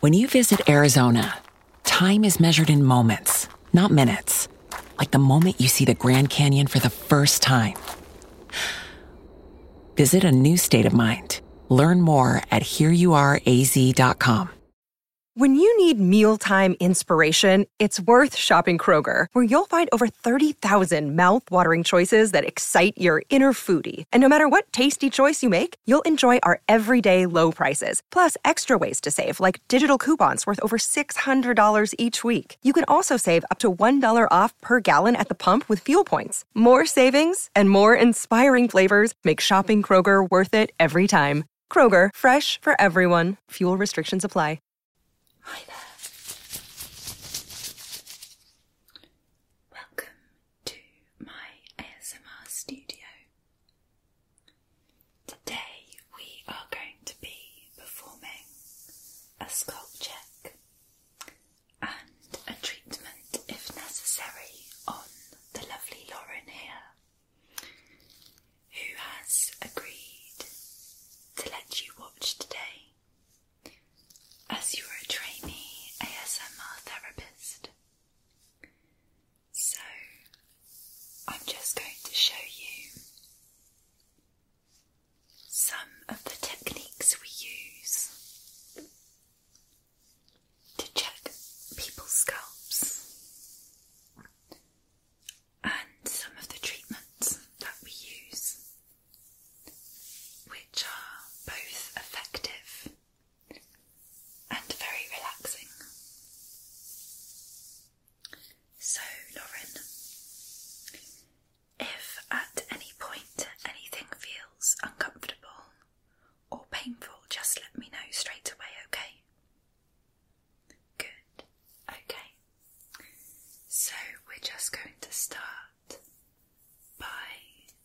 When you visit Arizona, time is measured in moments, not minutes. Like the moment you see the Grand Canyon for the first time. Visit a new state of mind. Learn more at hereyouareaz.com. When you need mealtime inspiration, it's worth shopping Kroger, where you'll find over 30,000 thousand mouth-watering choices that excite your inner foodie. And no matter what tasty choice you make, you'll enjoy our everyday low prices, plus extra ways to save, like digital coupons worth over $600 each week. You can also save up to $1 off per gallon at the pump with fuel points. More savings and more inspiring flavors make shopping Kroger worth it every time. Kroger, fresh for everyone. Fuel restrictions apply. Hi there. Welcome to my ASMR studio. Today we are going to be performing a scalp check and a treatment, if necessary, on the lovely Lauren here, who has agreed to let you watch today as you are a trainee ASMR therapist. So, I'm just going to show you some of the techniques we use to check people's scalps and some of the treatments that we use, which are both effective and very relaxing. So, Lauren, if at any point anything feels uncomfortable or painful, just let me know straight away, okay? Good, okay. So, we're just going to start by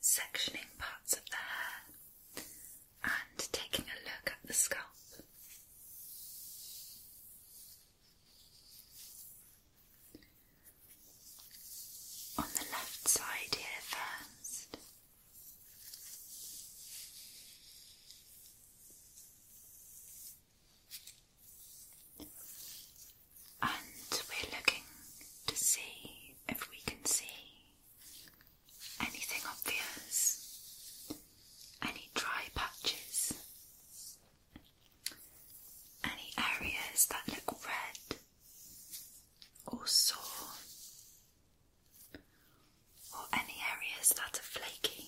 sectioning parts of the hair and taking a look at the scalp. On the left side here first. And we're looking to see if we can see Anything obvious? Any dry patches? Any areas that look red or sore? Or any areas that are flaky?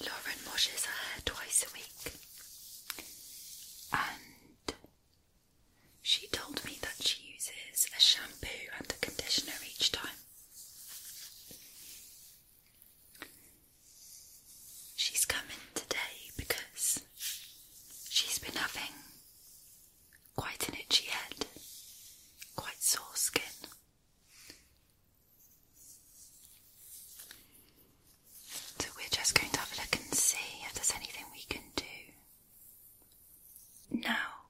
Lauren washes her hair twice a week, and she told me that she uses a shampoo and a conditioner each time. She's coming today because she's been having Quite an itchy head, quite sore skin. So, we're just going to have a look and see if there's anything we can do. Now,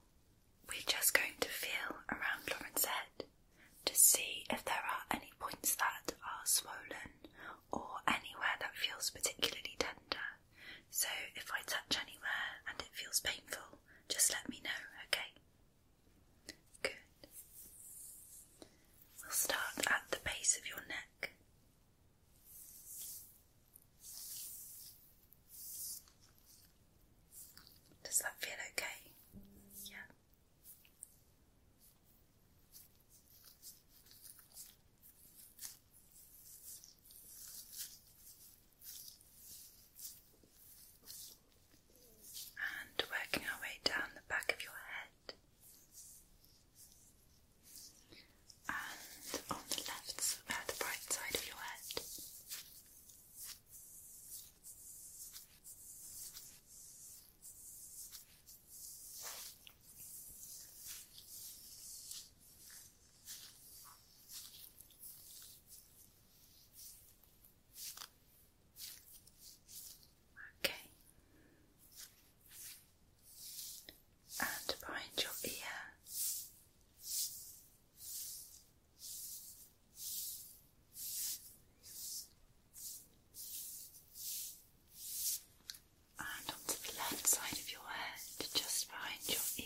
we're just going to feel around Lauren's head to see if there are any points that are swollen or anywhere that feels particularly tender. So if I touch anywhere and it feels painful, just let me know, okay? Good. We'll start at the base of your neck. Does that feel okay? Yeah. And working our way down the back of your head. And on the left, uh, the right side of your head. Okay. And behind your ear and onto the left side of your head, just behind your ear.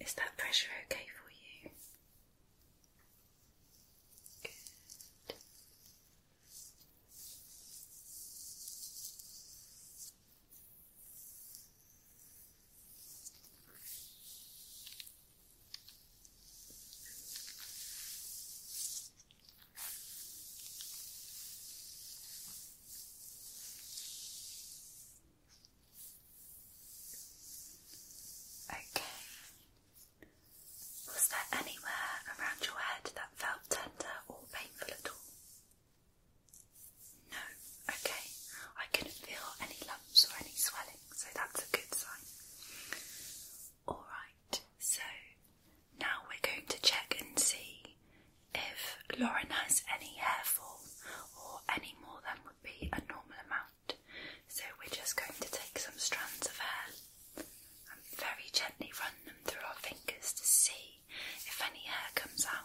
Is that pressure okay for you? Good. Okay. Was there anywhere around your head felt tender or painful at all? No, okay. I couldn't feel any lumps or any swelling, so that's a good sign. Alright, so now we're going to check and see if Lauren has any hair fall or any more than would be a normal amount. So we're just going to take some strands of hair and very gently run them through our fingers to see if any air comes out.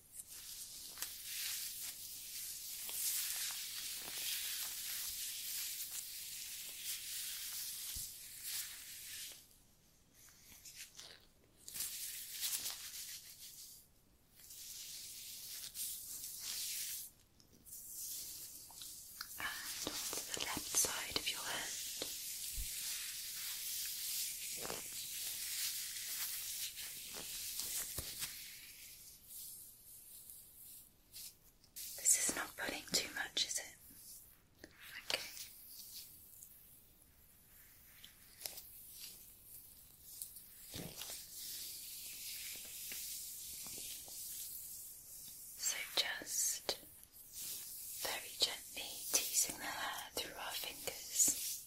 And on the left side of your hand. This is not putting too much, is it? Okay. So just very gently teasing the hair through our fingers.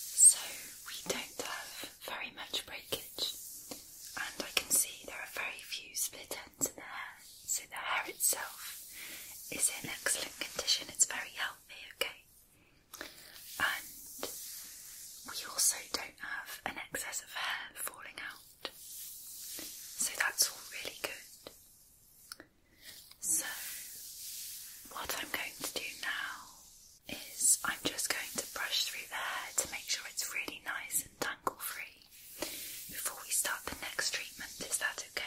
So we don't have very much breakage, and I can see there are very few split ends in the hair, so the hair itself is in excellent condition, it's very healthy, okay? And we also don't have an excess of hair falling out. So that's all really good. So, what I'm going to do now is I'm just going to brush through the hair to make sure it's really nice and tangle free before we start the next treatment. Is that Okay.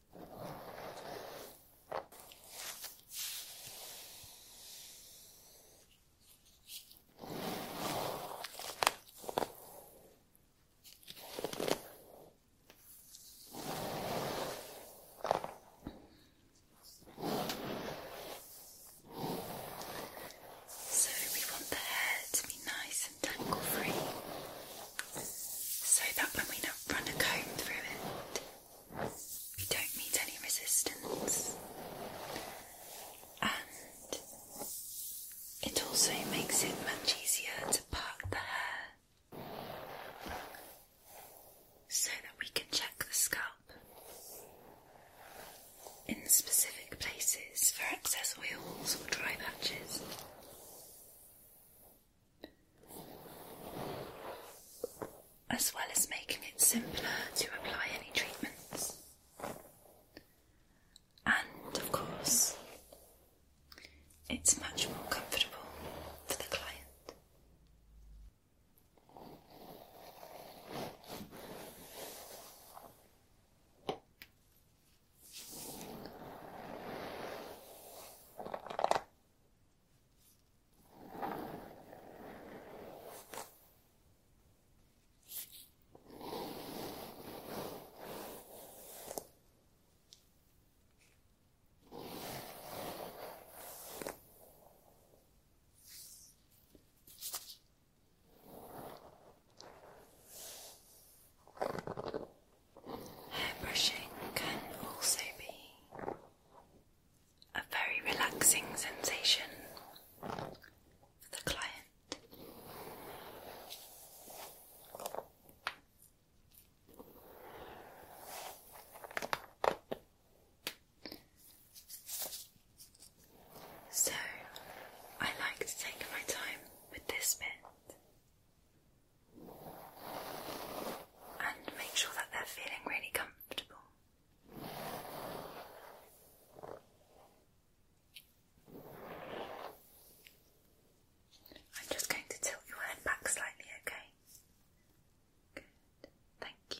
So we want the hair to be nice and tangle free so that when we run a comb through it, you don't meet any resistance, and it also makes it much easier to part the hair so that we can check the scalp in specific places for excess oils or dry patches as well as making it simpler to apply any treatments. And of course, it's much more comfortable for the client brushing can also be a very relaxing sensation for the client. So, I like to take my time with this bit and make sure that they're feeling really comfortable. I'm just going to tilt your head back slightly, okay? Good, thank you.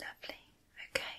Lovely, okay.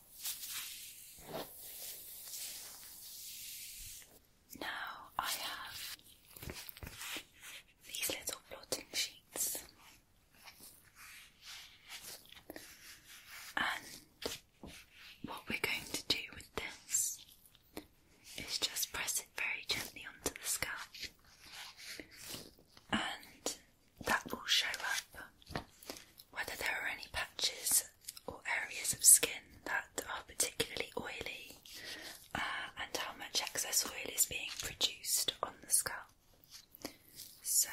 Now I have these little blotting sheets, and what we're going to do with this is just press it very gently onto the scalp, and that will show up whether there are any patches or areas of skin that are particularly oily uh, and how much excess oil is being produced on the scalp. So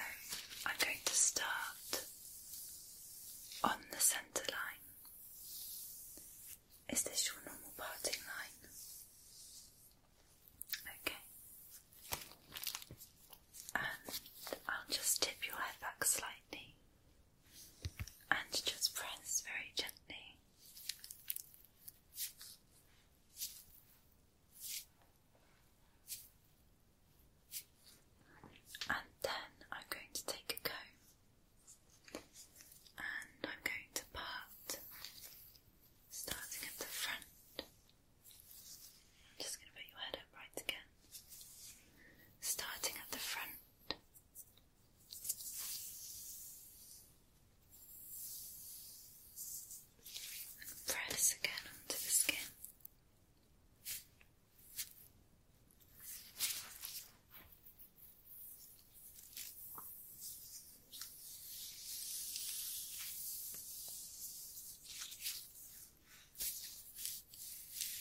I'm going to start on the centre line. Is this your normal parting line? Okay and I'll just tip your head back slightly and just press very gently. And then I'm going to take a comb and I'm going to part starting at the front I'm just going to put your head up right again. Starting at the front. press again onto the skin.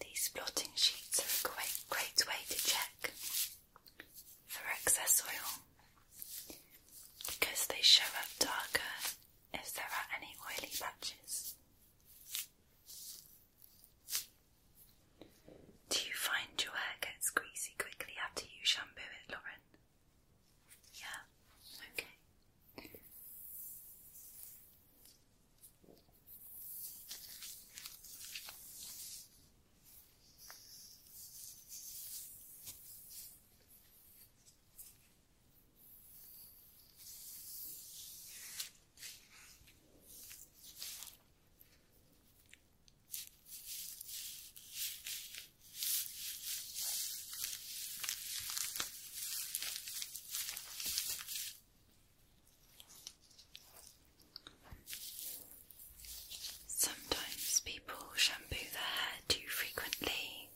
These blotting sheets are a great, great way to check for excess oil because they show up darker if there are any oily patches. Do you find your hair gets greasy quickly after you shampoo it, Lauren? Yeah, okay. Sometimes people shampoo their hair too frequently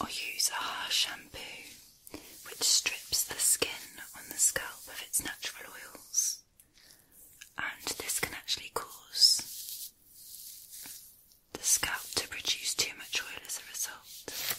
or use a harsh shampoo which strips the skin on the scalp of its natural oils, and this can actually cause the scalp to produce too much oil as a result.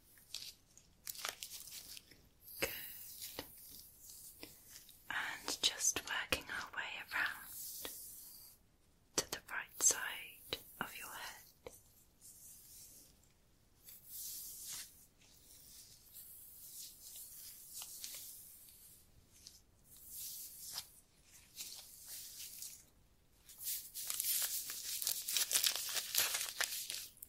Good. And just working our way around to the right side of your head.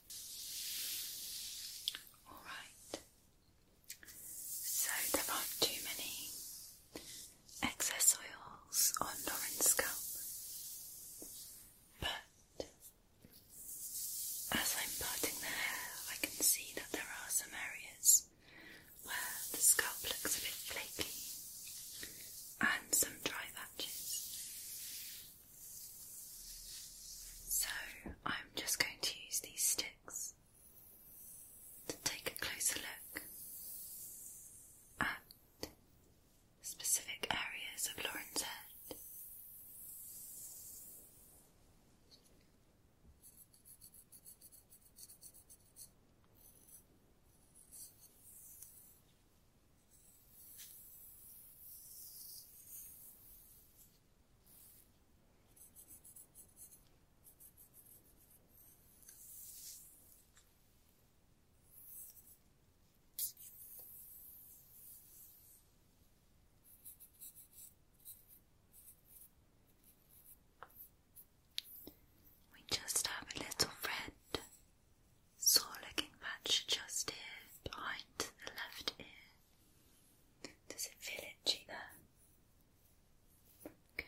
Alright, so there aren't too many excess oils on Lauren's scalp, but as I'm parting the hair, I can see that there are some areas where the scalp looks a bit flaky and some dry patches. So I'm just going to use these sticks to take a closer look at specific areas of Lauren's head. We just have a little friend saw looking patch just here behind the left ear. Does it feel itchy there? Okay.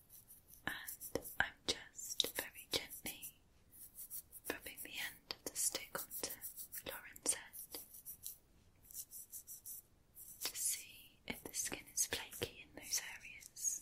and I'm just very gently rubbing the end of the stick onto Lauren's to see if the skin is flaky in those areas.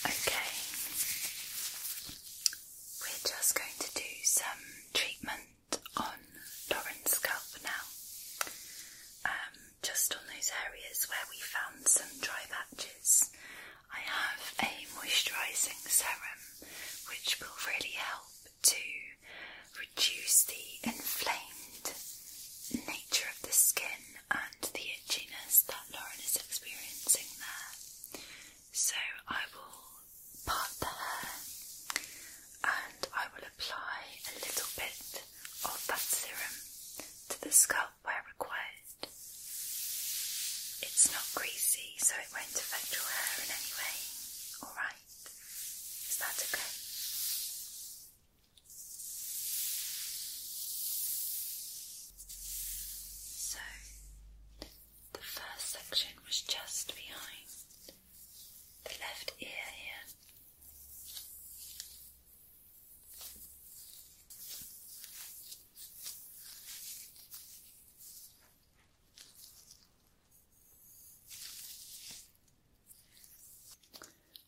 Okay, we're just going to do some treatment on Lauren's scalp now, um, just on those areas where we found some dry patches. I have a moisturising serum which will really help to reduce the inflamed nature of the skin and the itchiness that Lauren is experiencing there. So I will part the hair and I will apply a little bit of that serum to the scalp where required. It's not greasy, so it won't affect your hair in any way. Alright? Is that okay? So, the first section was just behind the left ear here.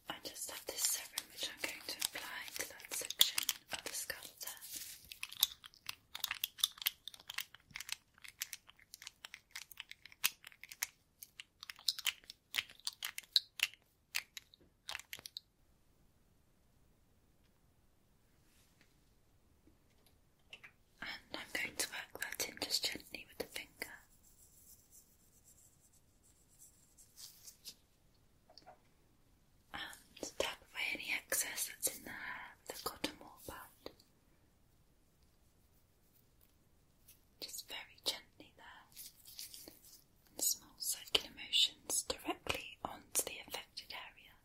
I just have this serum which I'm going to apply to that section of the scalp and I'm going to work that in just gently with the finger. And tap away any excess that's in the cotton wool pad. Just very gently there and small circular motions directly onto the affected area.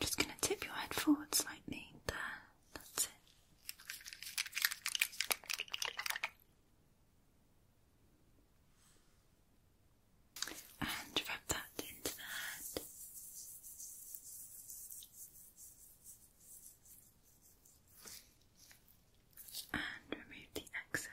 just going to tip your head forward slightly. There, that's it. And rub that into the hand. And remove the excess.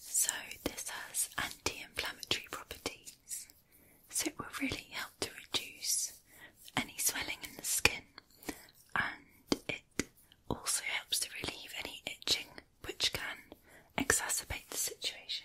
So, this has anti inflammatory properties, so it will really help to reduce any swelling in the skin and it also helps to relieve any itching which can exacerbate the situation.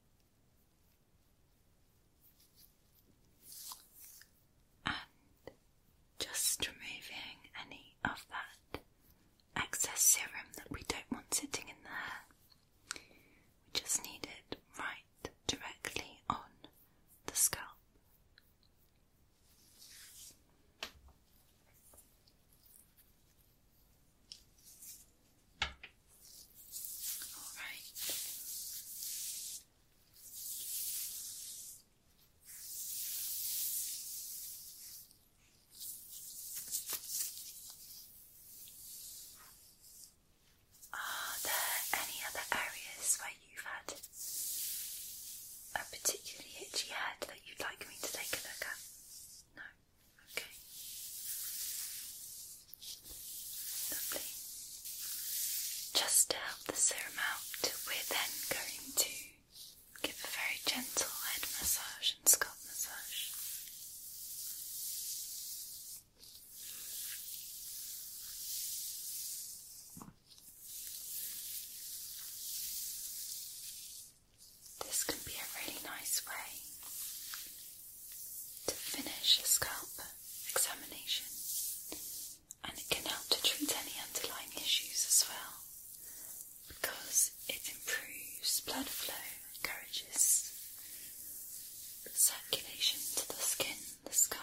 And just removing any of that excess serum that we don't want sitting in there. We just need it right directly on the scalp. All right. Are there any other areas where you've had a particularly itchy head that you'd like me to take a look at? No. Okay. Lovely. Just to help the serum out, we're then going to give a very gentle head massage and scalp massage. This can be a really nice way to finish a scalp examination and it can help to treat any underlying issues as well because it improves blood flow, encourages circulation to the skin, the scalp.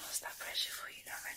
How's that pressure for you, Lauren?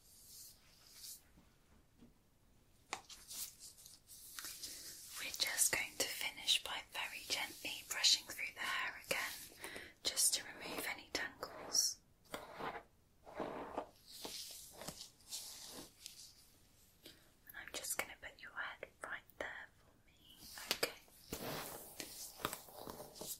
We're just going to finish by very gently brushing through the hair again just to remove any tangles. And I'm just going to put your head right there for me. Okay.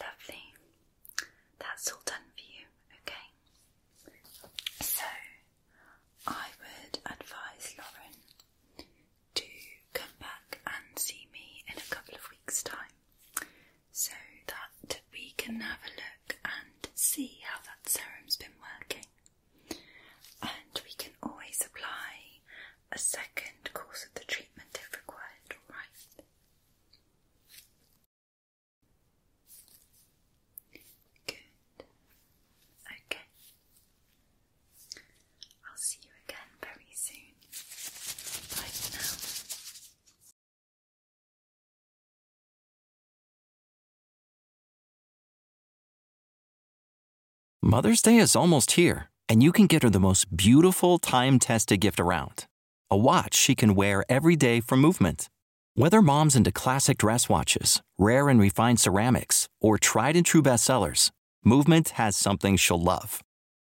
Lovely. That's all done for you, okay? So, I would advise Lauren to come back and see me in a couple of weeks' time so that we can have a look and see how that serum's been working. And we can always apply a second course of the treatment if required, alright? Good. Okay. I'll see you again very soon. Bye for now. Mother's Day is almost here, and you can get her the most beautiful time tested gift around a watch she can wear every day for movement. Whether mom's into classic dress watches, rare and refined ceramics, or tried and true bestsellers, Movement has something she'll love.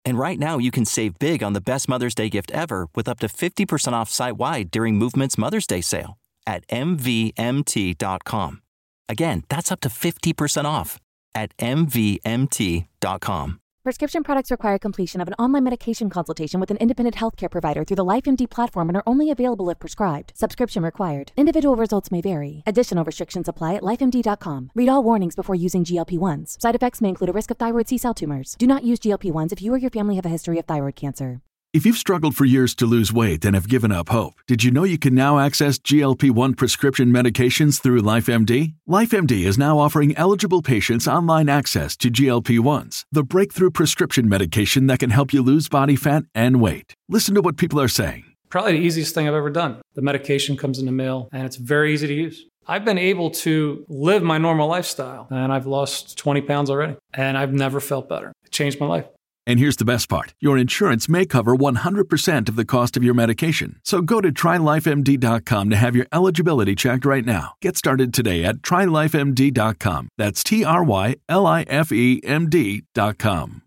And right now, you can save big on the best Mother's Day gift ever with up to 50% off site wide during Movement's Mother's Day sale at MVMT.com. Again, that's up to 50% off at MVMT.com. Prescription products require completion of an online medication consultation with an independent healthcare provider through the LifeMD platform and are only available if prescribed. Subscription required. Individual results may vary. Additional restrictions apply at lifemd.com. Read all warnings before using GLP 1s. Side effects may include a risk of thyroid C cell tumors. Do not use GLP 1s if you or your family have a history of thyroid cancer. If you've struggled for years to lose weight and have given up hope, did you know you can now access GLP 1 prescription medications through LifeMD? LifeMD is now offering eligible patients online access to GLP 1s, the breakthrough prescription medication that can help you lose body fat and weight. Listen to what people are saying. Probably the easiest thing I've ever done. The medication comes in the mail and it's very easy to use. I've been able to live my normal lifestyle and I've lost 20 pounds already and I've never felt better. It changed my life. And here's the best part your insurance may cover 100% of the cost of your medication. So go to trylifemd.com to have your eligibility checked right now. Get started today at trylifemd.com. That's T R Y L I F E M D.com.